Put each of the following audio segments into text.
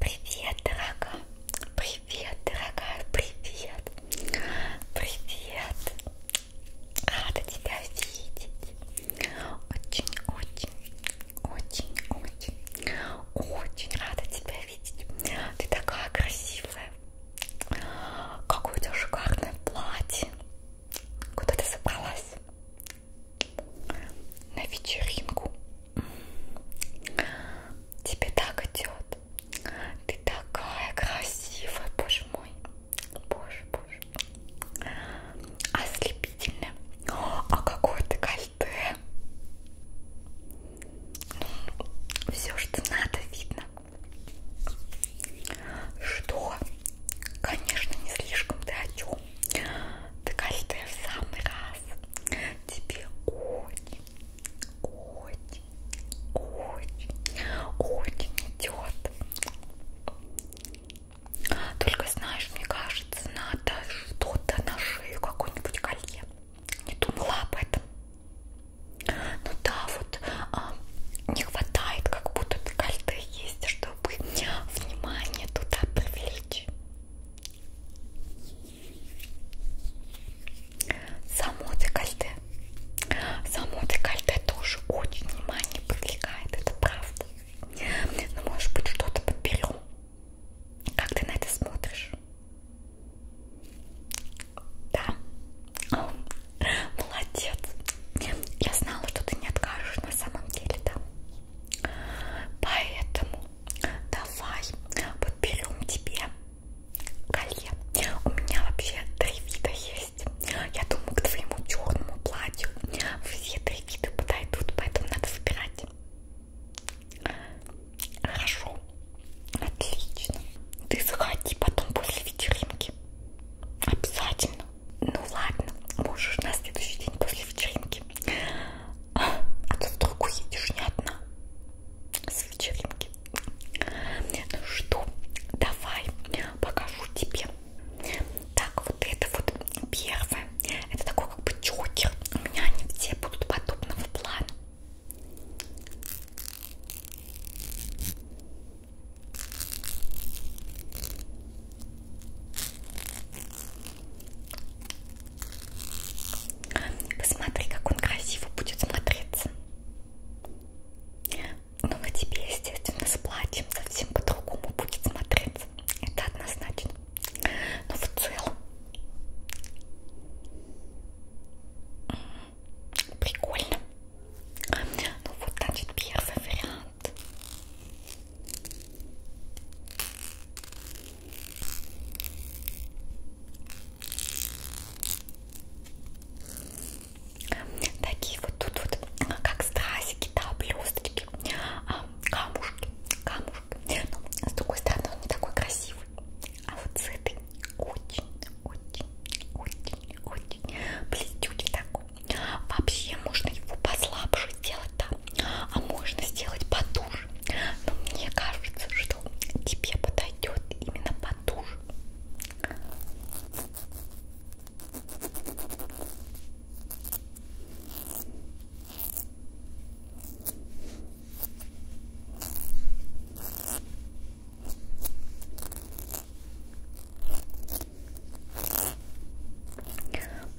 Привет, дорогая! Привет, дорогая! Привет! Привет! Рада тебя видеть! Очень-очень, очень-очень, очень рада тебя видеть! Ты такая красивая! Какое у тебя шикарное платье! Куда ты собралась? На вечеринку? Тебе так идет. Ты такая красивая, боже мой. Боже, боже. Ослепительная. А какое ты кольте. Ну, все, что надо, видно. Что? Конечно, не слишком ты о чем. Ты каждая в самый раз. Тебе очень, очень, очень, очень идет. Только знаешь, мне кажется, надо что-то на шею, какое-нибудь колье. Не думала об этом. Ну да, вот а, не хватает, как будто декольте есть, чтобы внимание туда привлечь. Само декольте. Само декольте тоже очень внимание привлекает, это правда. Но ну, может быть что-то подберем. Как ты на это смотришь? Да. О, молодец. Я знала, что ты не откажешь на самом деле, да. Поэтому давай подберем тебе колье. У меня вообще три вида есть. Я думаю, к твоему черному платью все три вида подойдут, поэтому надо выбирать. Хорошо. Отлично. Ты заходи потом после вечеринки. Обязательно. Ну ладно, можешь на следующий день после вечеринки. А, а то вдруг уедешь не одна с вечеринки. Ну что, давай покажу тебе. Так, вот это вот первое. Это такой как бы чокер. У меня они все будут подобного плана. Посмотри, как он красиво будет смотреться. Но ну, на тебе, естественно, с платьем совсем по-другому будет смотреться. Это однозначно. Но в целом прикольно. Ну вот, значит, первый вариант. Такие вот тут вот, как стразики, да, блесточки, а, камушки, камушки. Но, ну, с другой стороны, он не такой красивый. А вот с этой очень, очень, очень, очень блестючий такой. Вообще можно его послабже сделать, да, а можно сделать потуже. Но мне кажется, что тебе подойдет именно потуже.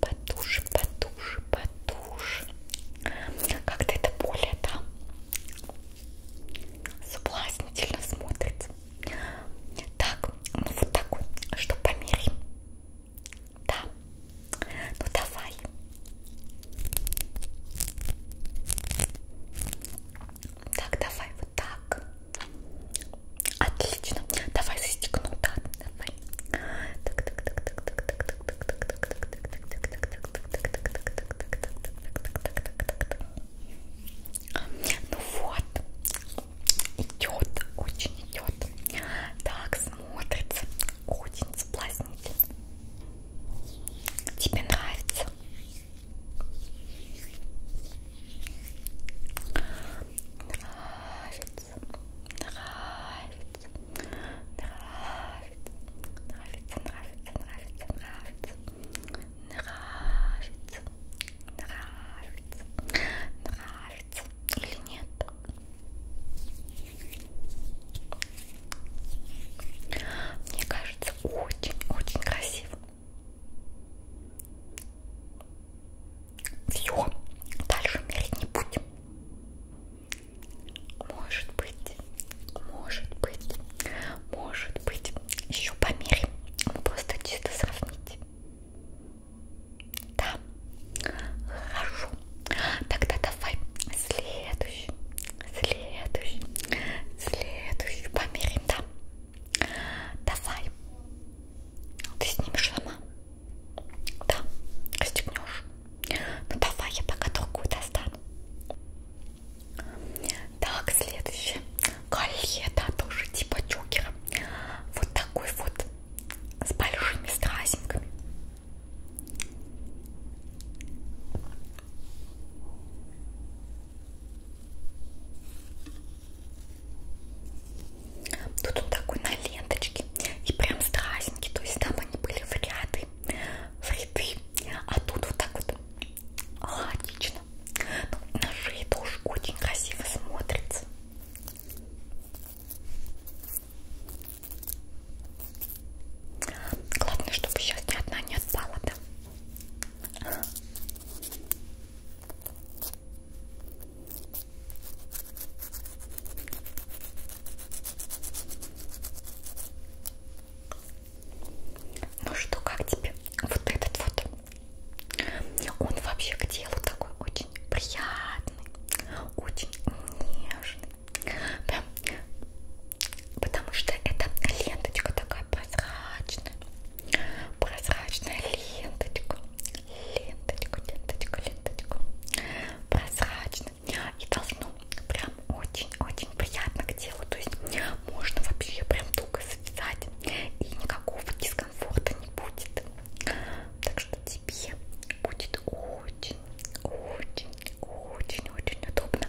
Потуши, потуши, потуши. Как-то это более, да, соблазнительно смотрится. Так, ну вот такой, что померим. Да, ну давай. Так, давай вот так. Отлично. Давай застегну, да, давай. Так, так, так, так, так, так, так, так, так, так, так, так, так, так, так, так, Ну вот. Идет, очень идет. Так смотрится, очень соблазнительно. Тебе нравится? Нравится, нравится, нравится, нравится, нравится, нравится, нравится, нравится, нравится или нет? Мне кажется, очень-очень красиво. Все, дальше мерить не будем. Может быть, может быть, может быть, еще померим. Мы просто чисто сравнить. Да, хорошо. Тогда давай следующий, следующий, следующий померим, да. Давай. Ты снимешь сама? Да, расстегнешь. Ну давай, я пока другую достану. Так, следующее. Колье, да, тоже типа джокера. Вот такой вот, с большими стразинками. Тут он такой на ленточке и прям страстненький, то есть там они были в ряды, в ряды, а тут вот так вот логично. Ну, на шее тоже очень красиво смотрится. Главное, чтобы сейчас ни одна не отпала, да? Ну что, как тебе вот этот вот? Он вообще к делу такой очень приятный, очень нежный. Да. Потому что это ленточка такая прозрачная прозрачная ленточку, ленточку, ленточку, ленточку, прозрачно и должно прям очень-очень приятно к телу, то есть можно вообще прям туго связать и никакого дискомфорта не будет, так что тебе будет очень, очень, очень, очень удобно.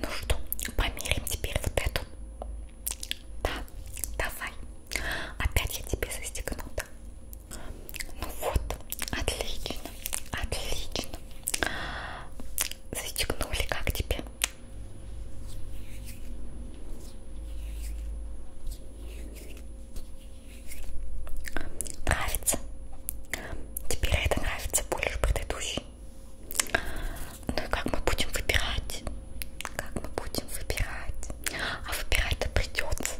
Ну что, померим теперь вот эту. Да, давай. Опять я тебе застегнута. Ну вот, отлично, отлично. Застегнули, как тебе? Нравится? Теперь это нравится больше предыдущей. Ну и как мы будем выбирать? Как мы будем выбирать? А выбирать-то придется.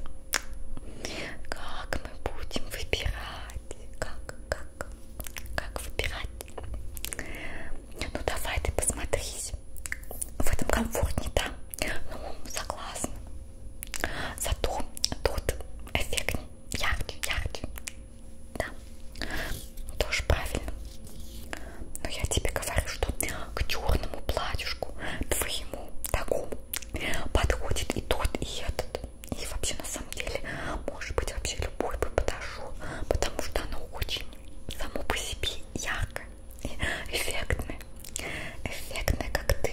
Как мы будем выбирать? Как, как, как выбирать? Ну давай ты посмотрись. В этом комфортнее, да? Ну, согласна. Зато тут эффектнее, ярче, ярче, да, ну, тоже правильно. Но я тебе говорю, что к черному платьюшку твоему такому подходит и тот, и этот. И вообще, на самом деле, может быть, вообще любой бы подошел, потому что оно очень само по себе яркое, эффектное, эффектное, как ты.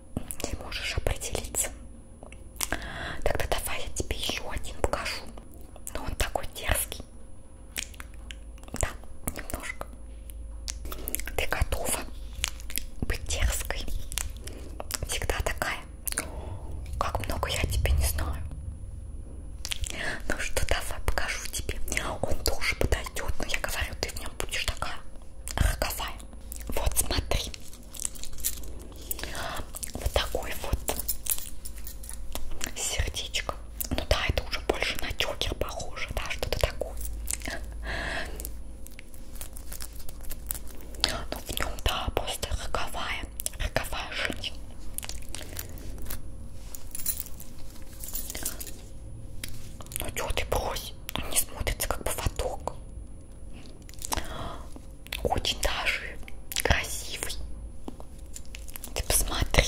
не можешь определиться. Тогда давай я тебе еще один покажу. Но ну, он такой дерзкий. Да, немножко. Ты готова быть дерзкой? Всегда такая. Как много я тебе не знаю. Ну что, давай покажу тебе. Он тоже подойдет, но я говорю, ты в нем будешь такая. Ах, какая. Вот смотри. Вот такой вот сердечко. Ну да, это уже больше на тюкер похоже, да, что-то такое. Ну в нем, да, просто роковая, роковая жизнь. Ну что ты брось, он не смотрится как поводок. Очень даже красивый. Ты посмотри.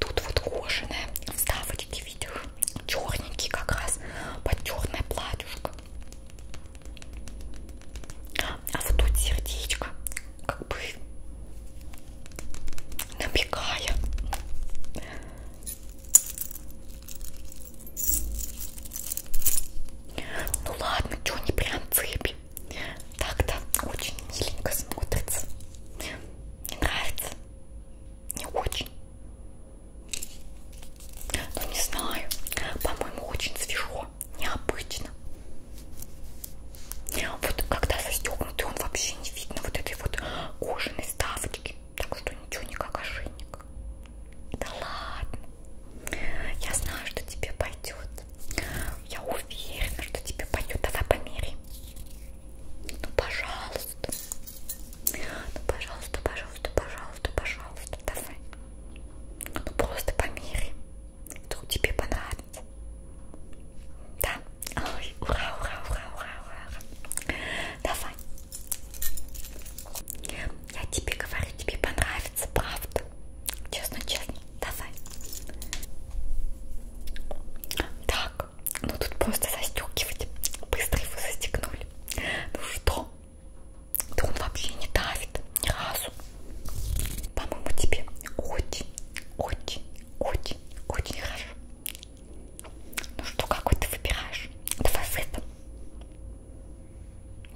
Тут вот кожаные вставочки, видишь, черненькие как раз, под черное платьюшко. А вот тут сердечко, как бы набегая. Ну ладно, что не прям цепи. Так-то очень миленько смотрится. Мне нравится. Не очень. Ну не знаю. По-моему, очень свежо. Необычно. Вот когда застегнутый, он вообще не видно вот этой вот кожаной ставочки. Так что ничего, никак ошейник. Да ладно. Я знаю, что тебе пойдет. Я уверена, что тебе пойдет. Давай померяй. Ну, пожалуйста. Ну, пожалуйста, пожалуйста, пожалуйста, пожалуйста. Давай. Ну, просто померяй. Вдруг тебе понравится. Да. Ой, ура, ура, ура, ура, ура. Давай. Я тебе говорю, тебе понравится, правда. Честно, честно, давай. Так, ну тут просто застегивать. Быстро его застегнули. Ну что? Да он вообще не давит ни разу. По-моему, тебе очень, очень, очень, очень хорошо. Ну что, какой ты выбираешь? Давай в этом.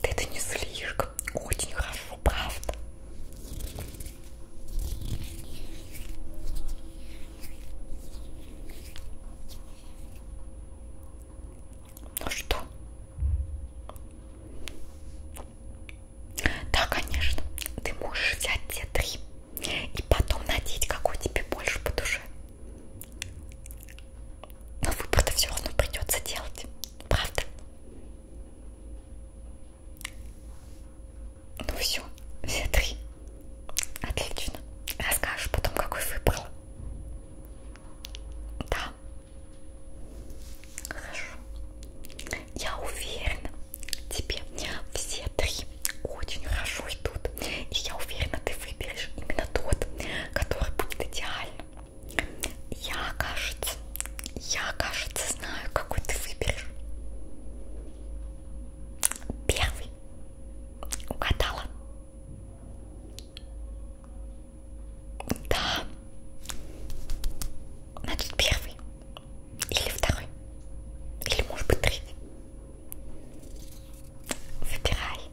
Да это не слишком, очень хорошо, правда. Ну что? Да, конечно, ты можешь взять те три и потом надеть, какой тебе больше по душе. Но выбор-то все равно придется делать. Правда? Ну все, все три. Отлично. Расскажешь потом, какой выбрал. Да. Хорошо. Я уверена, тебе все три очень хорошо идут. И я уверена, ты выберешь именно тот, который будет идеальным я, кажется, я, кажется, знаю, какой ты выберешь. Первый. Угадала. Да. Значит, первый. Или второй. Или, может быть, третий. Выбирай.